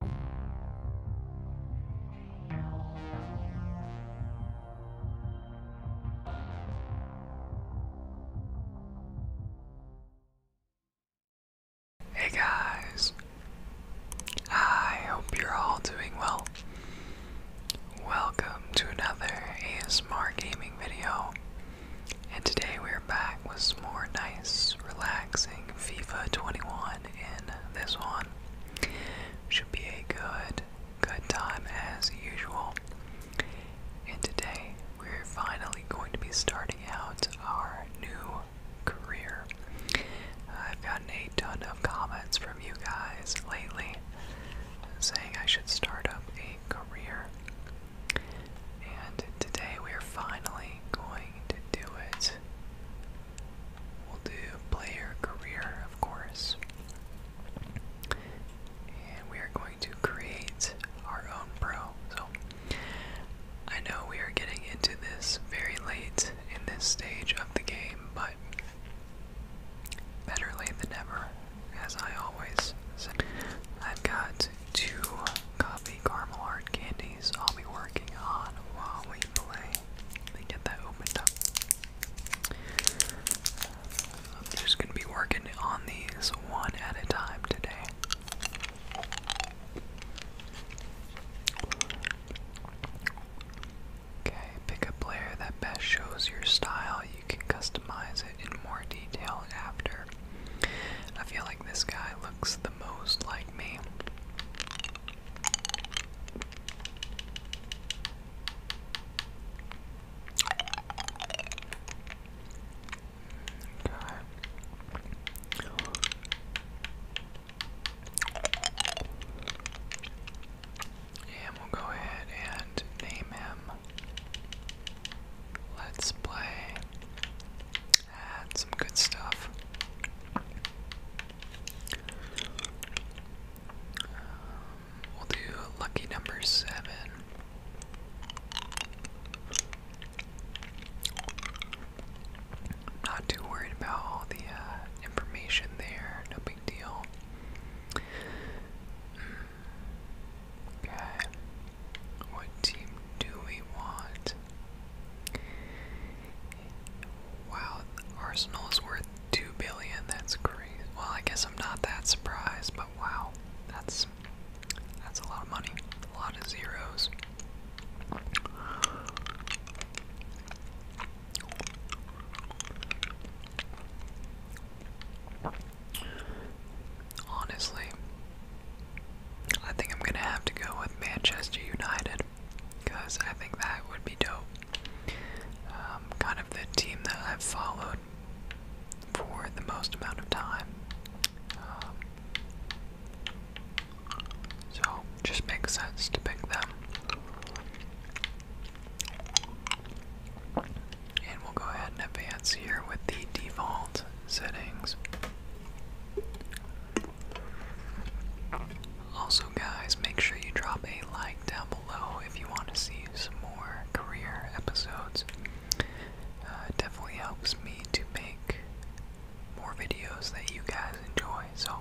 Hey guys, I hope you're all doing well. Welcome to another ASMR gaming video, and today we're back with more nice, relaxing FIFA 21 on in this one. Should be a good, good time as usual. And today we're finally going to be starting out our new career. I've gotten a ton of comments from you guys lately saying I should start up a career. And today we are finally going to do it. We'll do player career, of course. And we are going to create our own pro. So I know we are getting into this very late in this stage of the game, but better late than never, as I always say. I've got two coffee, caramel, candies I'll be working on while we play. Let me get that opened up. I'm just gonna be working on these one at a time today. Okay, pick a player that best shows your style. You can customize it in more detail after. I feel like this guy looks the most like me. Okay. we'll go ahead and name him. Let's play some good stuff. Um, we'll do lucky number 7 not too worried about all the uh, information there, no big deal. Hmm. Okay, what team do we want? points. Wow, Arsenal's worth two billion. That's crazy. Well, I guess I'm not that surprised, but wow, that's that's a lot of money, a lot of zeros. Honestly, I think I'm gonna have to go with Manchester United because I think that would be dope. Um, kind of the team that I've followed for the most amount of time. Um, so, just makes sense to pick them. And we'll go ahead and advance here with the default settings. Also, guys, make sure you drop a like down below if you want to see some more career episodes. Uh, it definitely helps me to make more videos that you guys enjoy. So,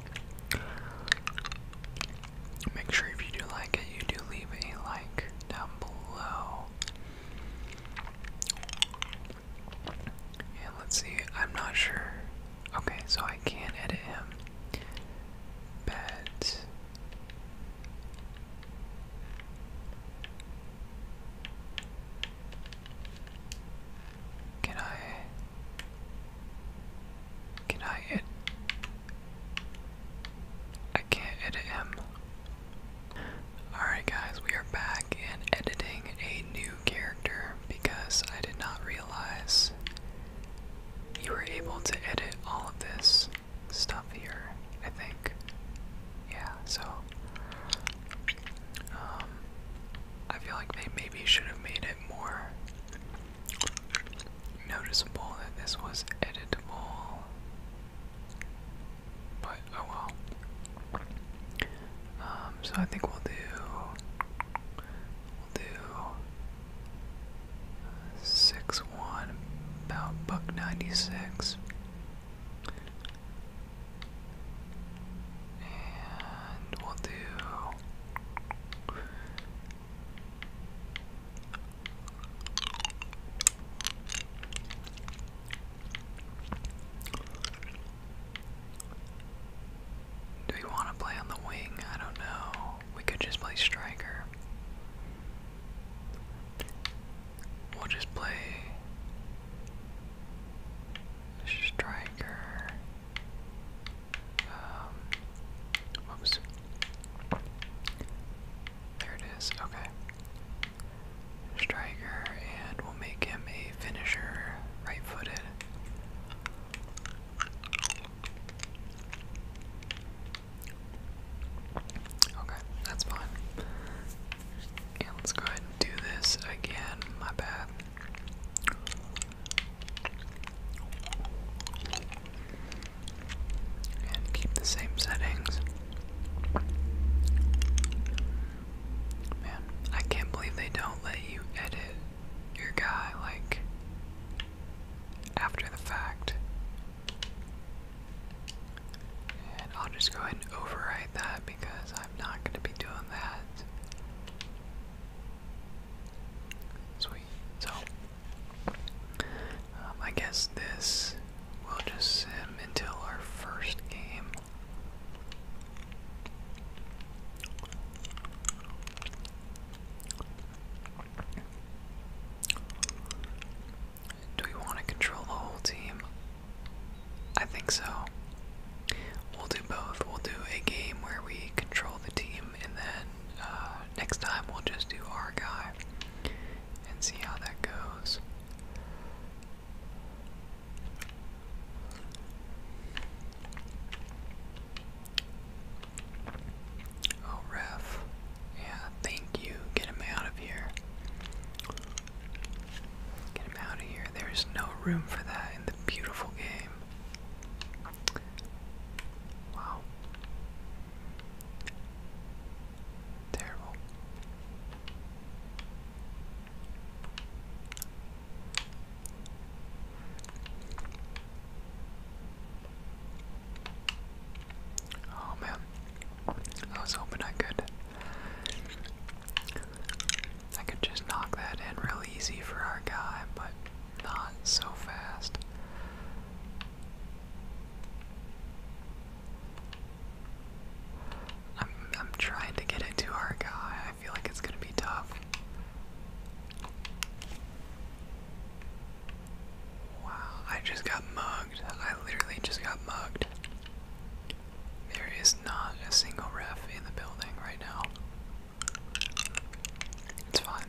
make sure if you do like it, you do leave a like down below let's see, I'm not sure. Okay, so I can edit him. But can I can I edit I can't edit him. Alright guys, we are back and editing a new character because I did not realize you were able to edit all of this stuff here, I think. Yeah, so um, I feel like they maybe should have made it more noticeable that this was editable. But oh well. Um, so I think we'll do we'll do six one about buck ninety six. And we'll do do we want to play on the wing? I don't know. We could just play striker. We'll just play striker. Um, There it is. Okay striker and we'll make him a finisher, right footed. Okay, that's fine. let's go ahead and do this again, my bad. And keep the same settings. Man, I can't believe they don't let you edit your guy like after the fact. And I'll just go ahead and overwrite that because I'm not going to be doing that. Sweet. So, um, I guess this will just sim until our first game. Do we want to control the whole team? I think so. We'll do both. We'll do a game where we control the team, and then uh, next time we'll just do our guy and see how that goes. Oh, ref. Yeah, thank you. Get him out of here. Get him out of here. There is no room for that in the beautiful game. Wow. Terrible. Oh man, I was hoping I could. I could just knock that in real easy for our guy, but not so fast. I'm I'm trying to get it to our guy feel like it's going to be tough. Wow, I just got mugged. I literally just got mugged. There is not a single ref in the building right now. It's fine.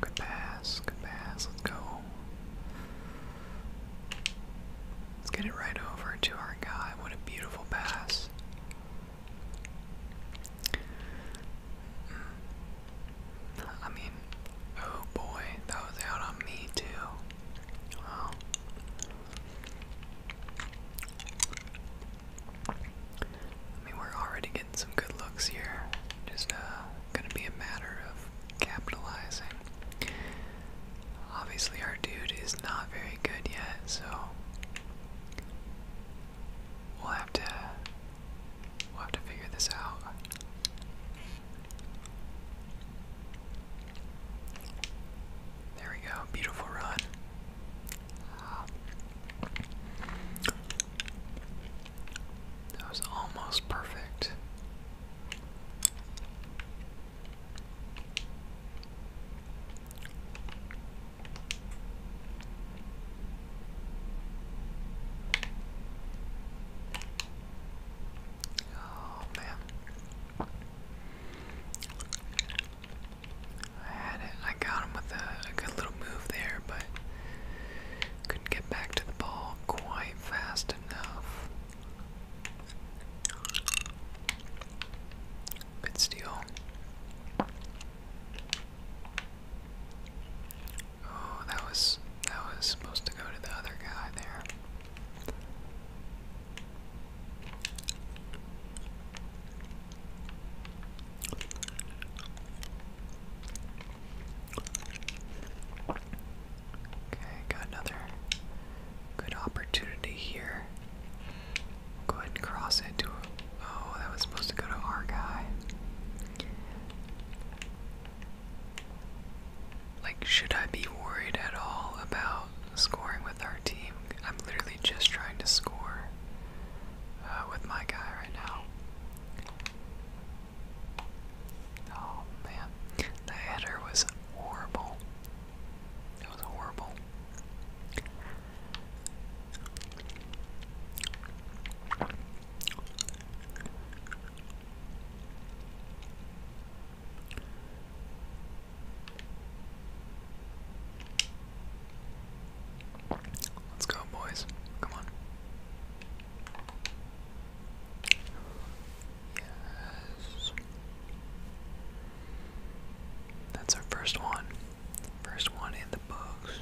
Good pass, good pass, let's go. Let's get it right over to our guy. What a beautiful pass. Mm. I mean, oh boy, that was out on me too. Wow. I mean, we're already getting some good looks here. Just uh, gonna be a matter of capitalizing. Obviously, our dude is not very good yet, so we'll have to we'll have to figure this out. There we go. Beautiful run. That was almost perfect. Oh man. I had it. I got him with a, good little move there, but couldn't get back to the ball quite fast enough. Good steal. Oh, that was that was supposed to go to the other guy there. Okay, got another good opportunity here. Go ahead and cross it Oh, that was supposed to go to our guy. Like, should I be worried at all about scoring with our team? I'm literally just trying to score uh, with my guy right now. Oh man, the header was horrible. It was horrible. Let's go, boys. Come on. Yes. That's our first one. one in the books.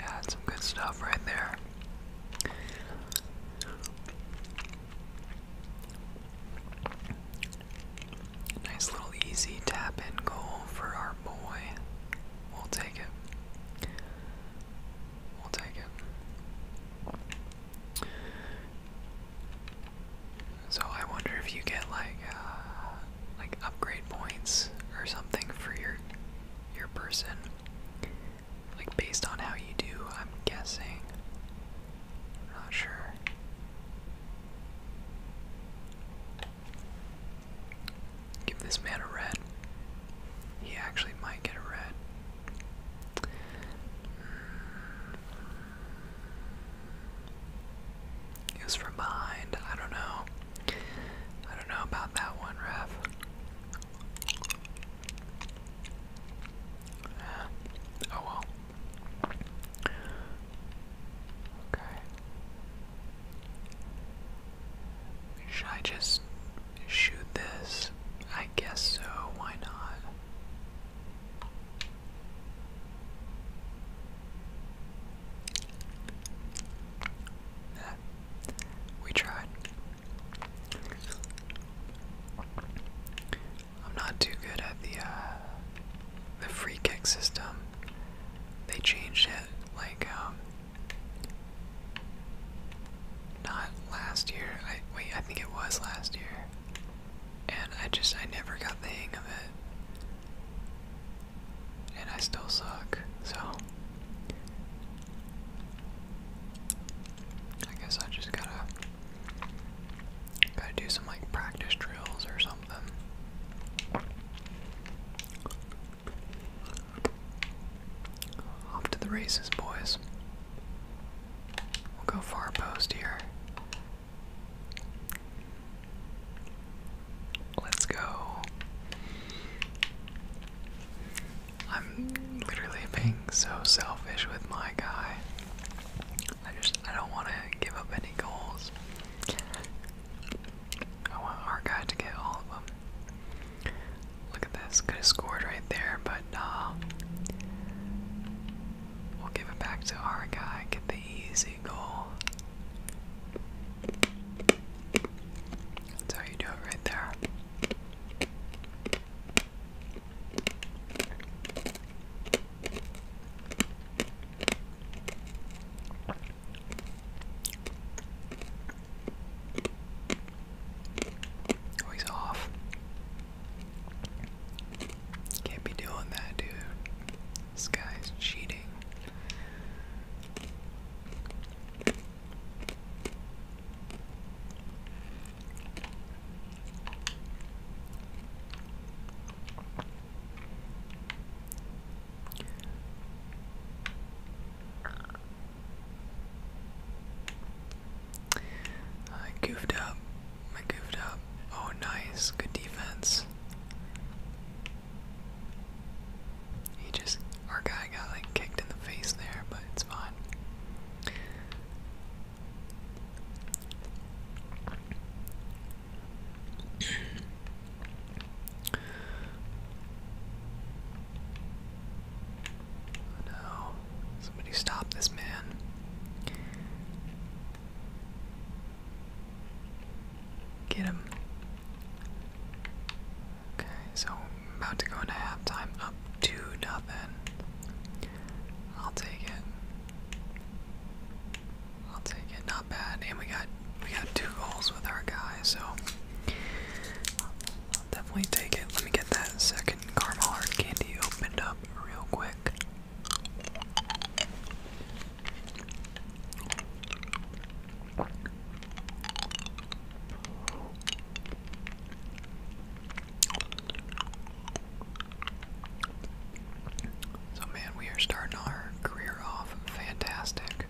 Yeah, some good stuff right there. Nice little easy tap in goal for our boy. We'll take it. We'll take it. So I wonder if you get like uh, like upgrade points or something for your your person, like based on how you do. I'm guessing. Not sure. Give this man a red. He actually might get a red. Mm. It from behind. I don't know. I don't know about that one, ref. oh well. Okay. Should I just shoot this? I guess so, why not? Nah, we tried. I'm not too good at the uh, the free kick system. They changed it like um, not last year. I wait, I think it was last year, and I just I never got the hang of it, and I still suck. So I guess I just gotta gotta do some like practice drills or something. Off to the races, boys. We'll go far post here. Let's go. I'm literally being so selfish with my guy. I just I don't want to give up any goals. I want our guy to get all of them. Look at this, could have scored right there, but nah. Um, we'll give it back to our guy, get the easy goal. That's how you do it right there. Oh, off. Can't be doing that, dude. This guy's cheating. I goofed up. I goofed up. Oh, nice. Good defense. He just. Our guy got like kicked in the face there, but it's fine no. Somebody stop this man. Get him. Okay, so about to go into halftime up to nothing. I'll take it. I'll take it. Not bad. And we got we got two goals with our guy, so definitely take it. Let me get that second caramel candy opened up real quick. So, man, we are starting our career off fantastic.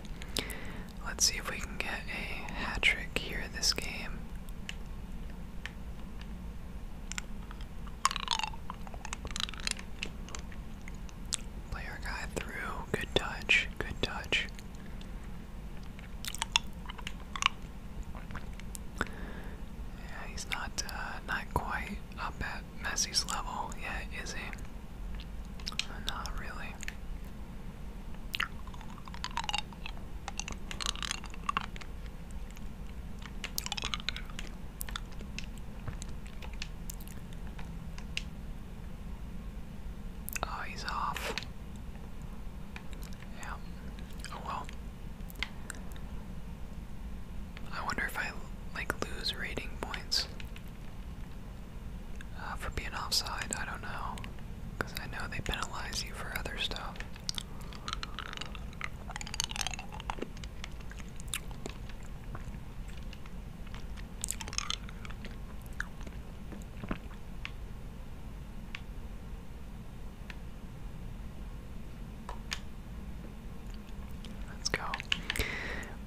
Let's see if we can get a hat trick here this game. Play guy through. Good touch. Good touch. Yeah, he's not uh, not quite up that Messi's level yeah, is he? Not really. Oh, he's off. Yeah. Oh well. I wonder if I like lose rating points uh, for being offside. I don't know, because I know they penalize you for other stuff. Let's go.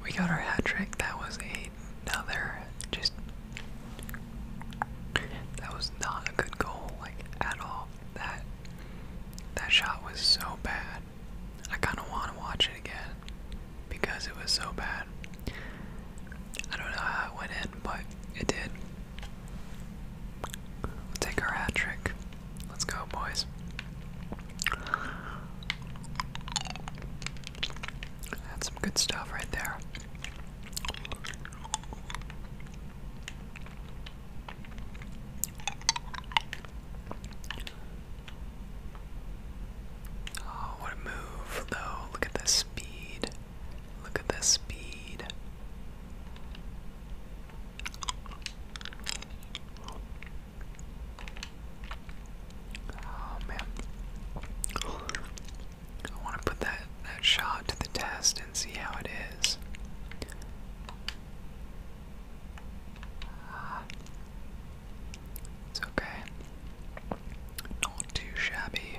We got our hat trick. That was another just. That was not a good goal, like at all. That that shot was so bad. I kind of want to watch it again because it was so bad. I don't know how it went in, but it did. we take our hat trick. Let's go, boys. That's some good stuff right there. Oh, what a move, though. Look at this speed. Look at this speed. Oh man. I want to put that that shot to the test and see how it is. Ah. it's okay. Not too shabby.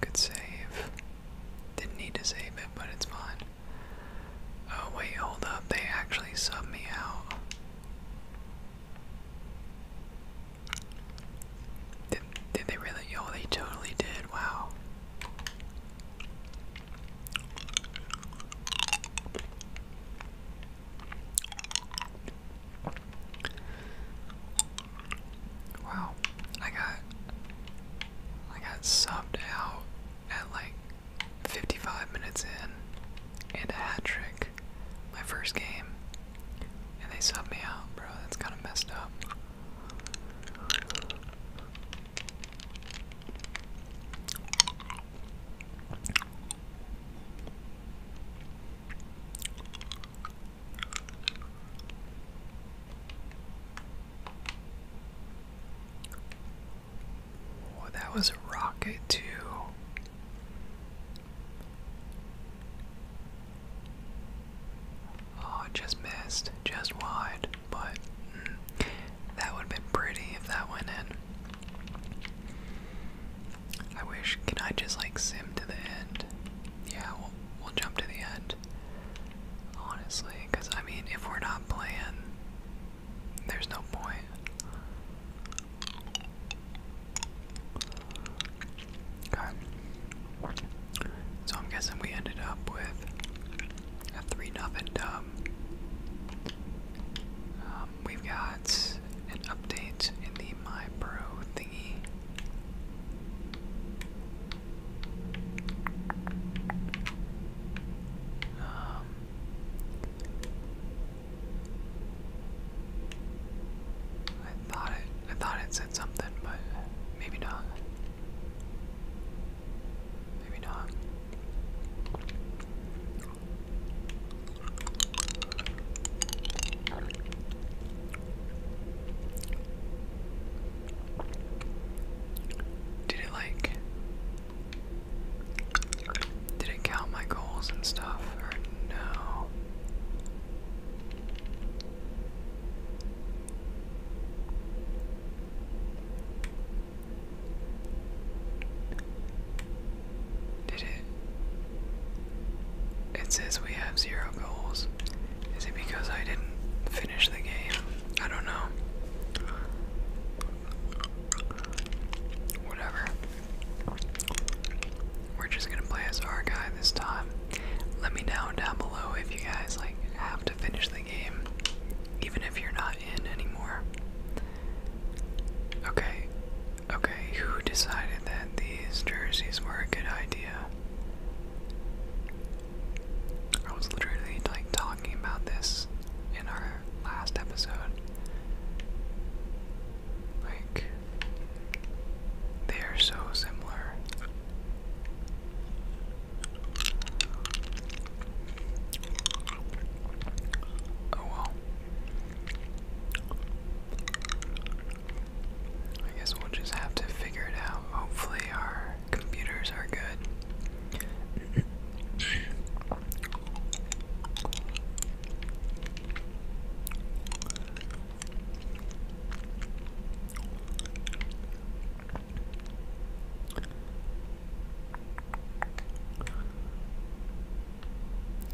Good save. Didn't need to save it, but it's fine. Oh, wait, hold up. They actually subbed me out. Did, did they really? Oh, they totally did. Wow. Wow, I got I got subbed out at like 55 minutes in and a hat trick my first game and they subbed me out, bro. That's kind of messed up that was a rocket, too. Oh, just missed, just wide. But that would have been pretty if that went in. I wish. Can I just like sim to the end? Yeah, we'll jump to the end. Honestly, because I mean, if we're not playing, there's no point. Okay. So I'm guessing we ended up with a 3 nothing dub. Um, um, we've got an update in the My thingy. Um, I thought I thought it said something, but maybe not. Maybe not. Did it like did it count my goals and stuff or no? Did it? It says we have zero goals. Is it because I didn't finish the game? I don't know. Whatever. We're just gonna play as our guy this time. Let me know down below if you guys like have to finish the game, even if you're not in anymore. Okay, okay, who decided that these jerseys were a good idea? I was literally like talking about this in our last episode. Like, they are so similar. Oh well. I guess we'll just have to figure it out. Hopefully, our computers are good.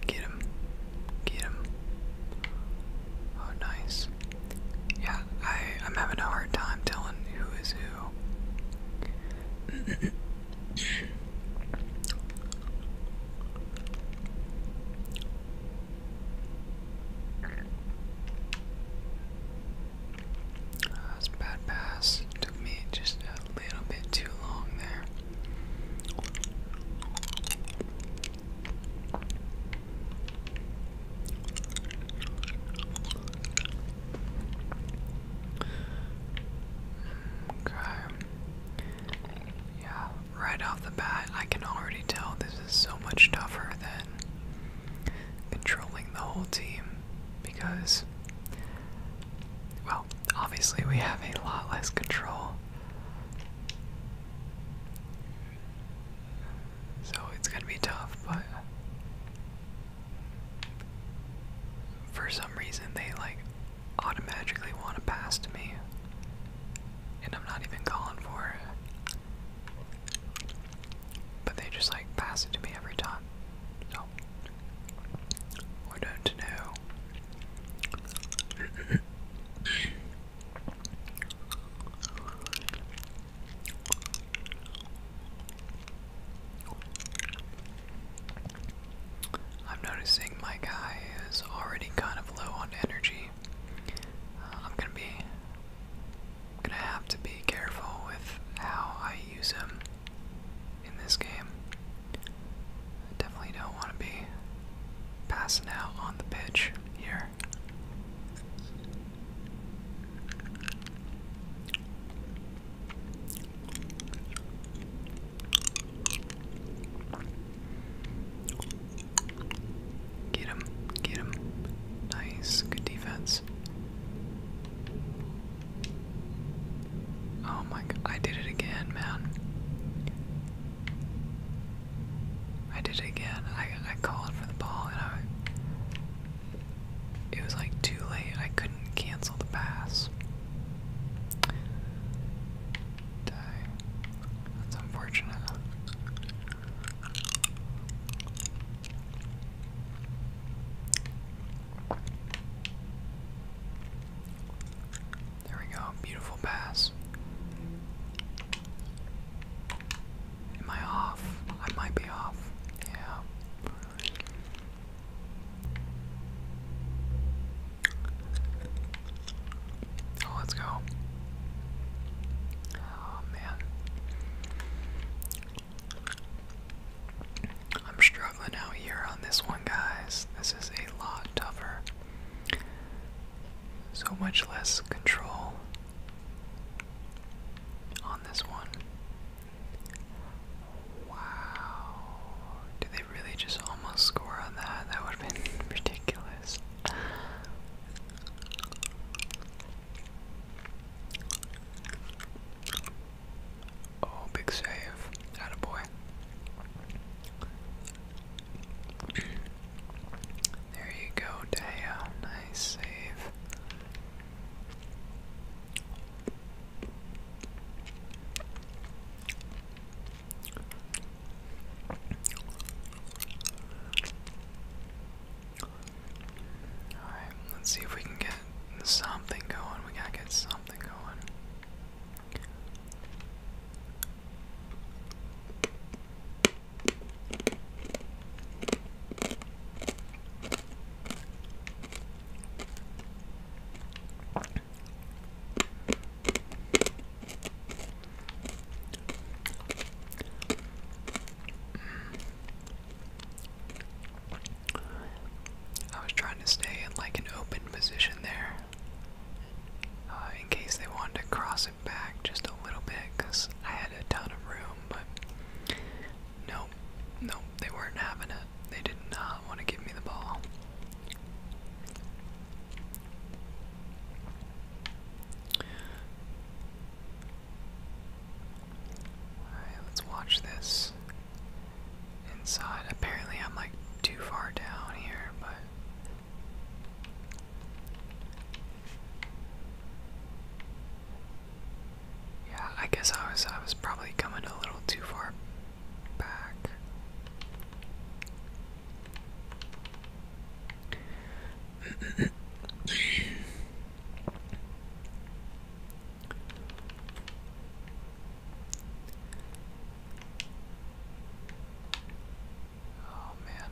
Get him. Get him. Oh, nice. Yeah, I, I'm having a hard time telling who is who that's uh, bad pass. Took me just a little bit too long there. Okay. Yeah, right off the bat, I can already tell this is so much tougher than controlling the whole team because, well, obviously we have a lot less control. So it's gonna be tough, but for some reason they like automatically want to pass to me, and I'm not even calling for it. But they just like pass it to me every time. So we don't know. I'm noticing my guy is already kind of low on energy. Uh, I'm gonna be gonna have to be careful with how I use him in this game. I definitely don't want to be passing out on the pitch here. Get him, get him. Nice, good defense. Oh my god, I did it again, man. I did it again. I, I called for the ball and It was like too late. I couldn't cancel the pass. That's unfortunate. There we go, beautiful pass. Am I off? I might be off. Yeah. Oh, let's go. Oh man. I'm struggling out here on this one, guys. This is a lot tougher. So much less control on this one. Wow. Did they really just almost score on that? That would have been ridiculous. Oh, big save. Attaboy. there you go, Daya. Nice save. Alright, let's see if we can get something going. We gotta get something going. I was trying to stay in like an open position there uh, in case they wanted to cross it back just a little bit because I had a ton of room, but nope, nope, they weren't having it. They did not want to give me the ball let's watch this inside. Apparently, I'm like too far down here, but. Yeah, I guess I was I was probably coming a little too far back. Oh man.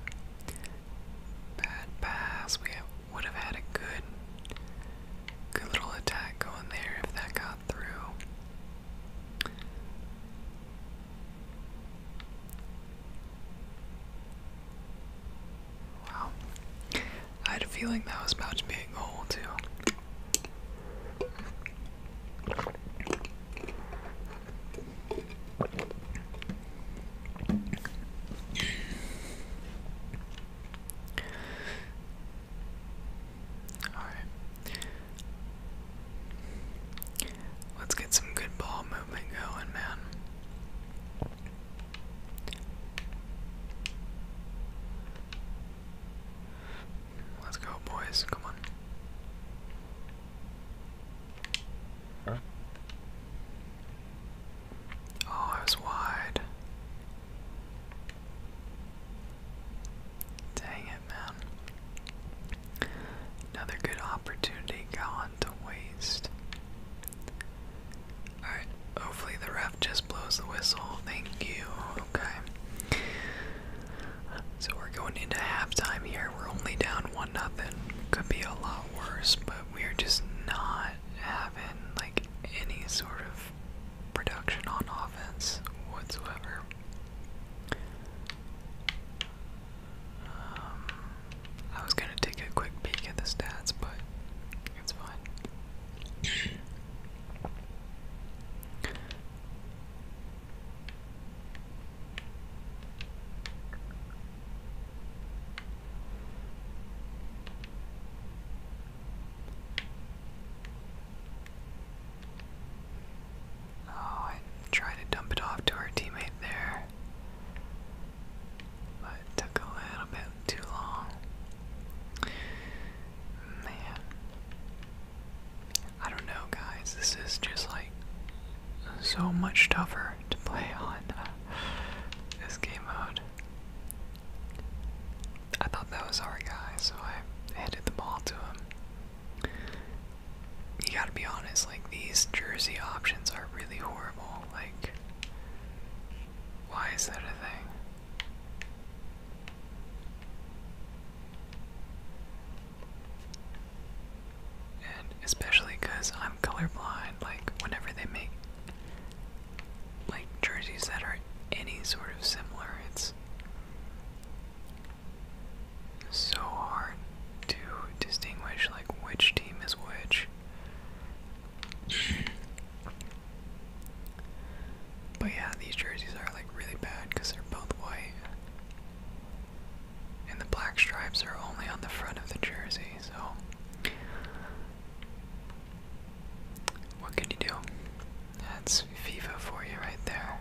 Bad pass. We have, would have had a good good little attack going there if that got through. Wow. I had a feeling that was about to be a goal, too. Alright. Let's get some good ball movement going, man. Let's go, boys. Come on. Huh? Oh, I was wide. Dang it, man. Another good opportunity gone to waste. Alright, hopefully the ref just blows the whistle. Thank you. Okay. So we're going into halftime here. We're only down one nothing. Could be a lot worse, but we're just not having like any sort of production on offense whatsoever. Um, I was gonna take a quick peek at the stats, but it's fine. Oh, I tried to dump it off to our teammate there but took a little bit too long. Man. I don't know, guys. This is just like so much tougher to play on uh, this game mode. I thought that was our guy, so I handed the ball to him. You gotta be honest, like, these jersey options are really horrible. like why is that a thing? And especially because I'm colorblind, like, whenever they make like jerseys that are any sort of similar, it's so hard to distinguish like which team is which. But yeah, these jerseys are like really bad because they're both white. And the black stripes are only on the front of the jersey, so. What can you do? That's FIFA for you right there.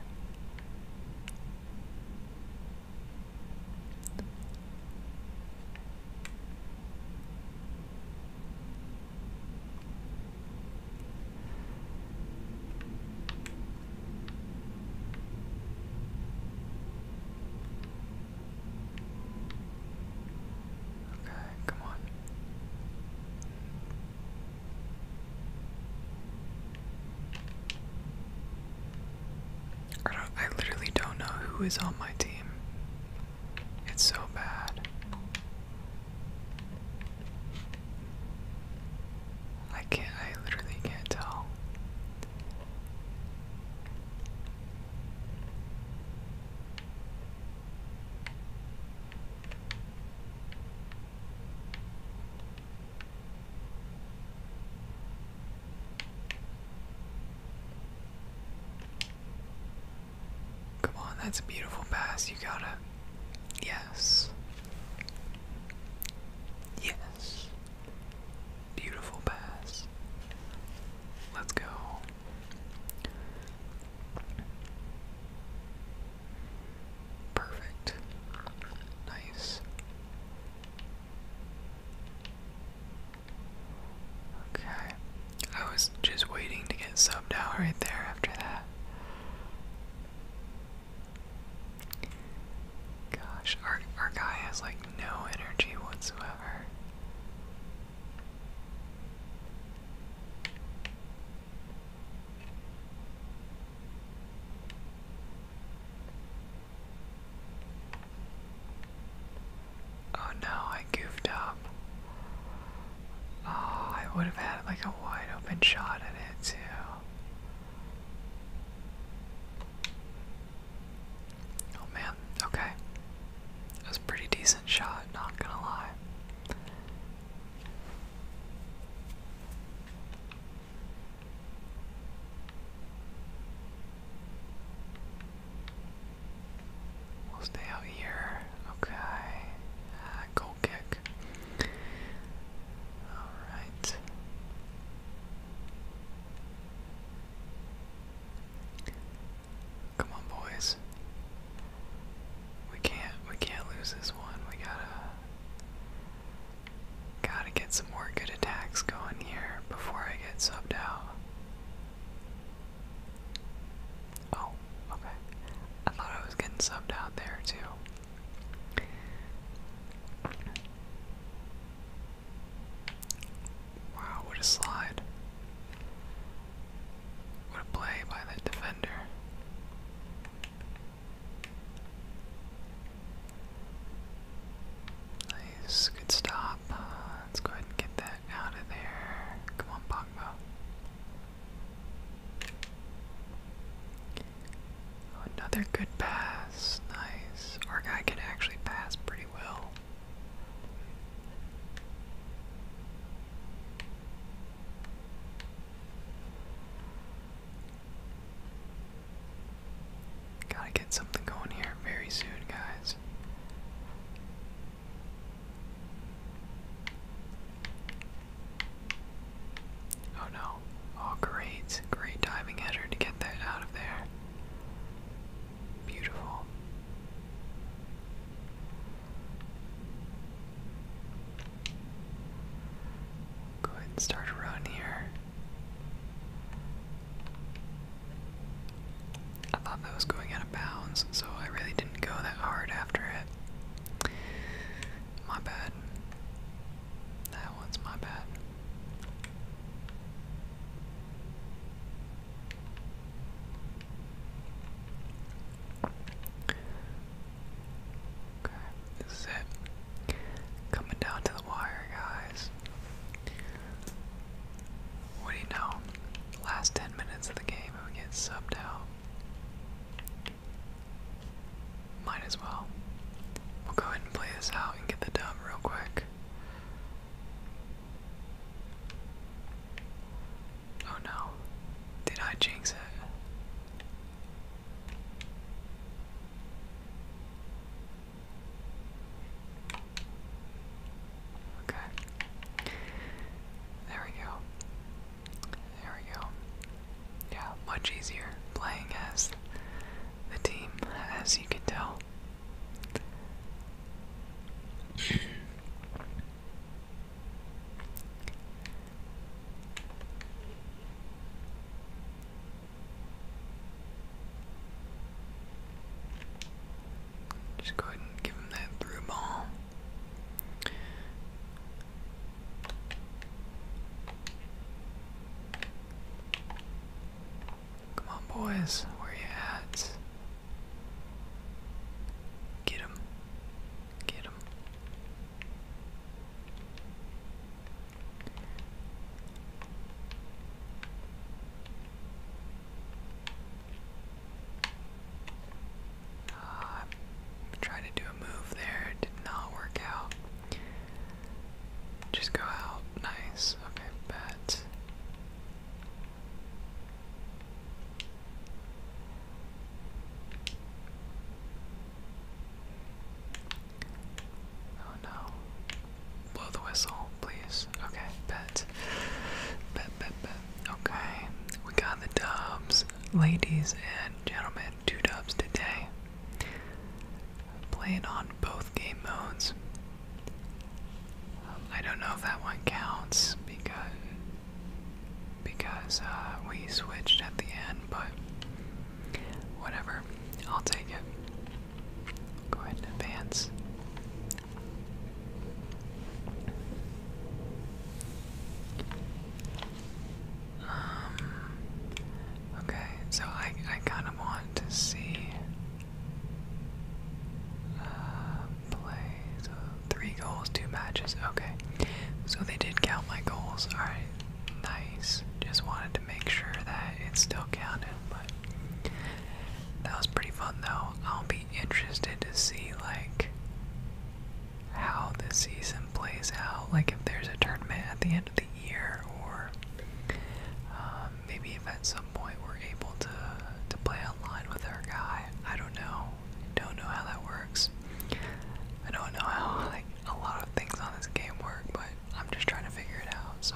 Okay, come on. I, don't, I literally don't know who is on my team. It's so bad. I can't, I literally can't tell. Come on, that's a beautiful pass. You got it. Yes. Yes. Beautiful pass. Let's go. Perfect. Nice. Okay. I was just waiting to get subbed out right there after that. Gosh, our, our guy has like no energy whatsoever. Oh no, I goofed up. Oh, I would have had like a wide open shot at it too. Oh man, okay. That was a pretty decent shot, not gonna lie. We'll stay out here. Okay. Uh, kick. Alright. Come on boys. We can't we can't lose this one. We gotta Gotta get some more good attacks going here before I get subbed out. Oh, okay. I thought I was getting subbed out there too. Wow, what a slide. What a play by that defender. Nice, good stop. Uh, let's go ahead and get that out of there. Come on, Pogba. Oh, another good pass. Nice. Our guy can actually pass pretty well. Gotta get something going here very soon, guys. Oh no. Oh, great. Great diving header to get that out of there. Beautiful. Go ahead and start a run here. I thought that was going out of bounds, so I really didn't go that hard after it. My bad. That one's my bad. Okay, this is it. Coming down to the wire, guys. What do you know? Last 10 minutes of the game, if we get subbed out, might as well. We'll go ahead and play this out and get the dub real quick. Oh no. Did I jinx it? Okay. There we go. There we go. Yeah, much easier playing as the team, as you can tell. Just go ahead and give him that through ball. Come on, boys, where you at? Get him. Get him. Uh, to do a move there, did not work out. Just go out. Nice. Okay, bet. Oh no blow the whistle, please. Okay, bet. Bet, bet, bet. Okay, we got the dubs. Ladies and gentlemen, two dubs today. Playing on both game modes. Um, I don't know if that one counts because because uh, we switched at the end, but whatever. I'll take it. Go ahead and advance. Um, okay, so I, I kind of want to see uh, play three goals, two matches. Okay, so they did count my goals. All right, nice. Just wanted to make sure that it still counted, but that was pretty fun though. I'll be interested to see like how the season plays out. Like if there's a tournament at the end of the year, or um, maybe if at some point we're able to to play online with our guy. I don't know. I don't know how that works. I don't know how like a lot of things on this game work, but I'm just trying to figure it out. So,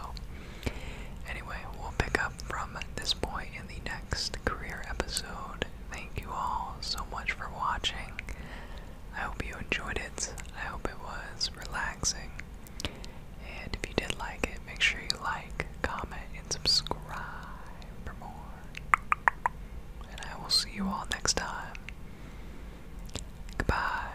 anyway, we'll pick up from this point in the next career episode. Thank you all so much for watching. I hope you enjoyed it. I hope it was relaxing. And if you did like it, make sure you like, comment, and subscribe for more. And I will see you all next time. Goodbye.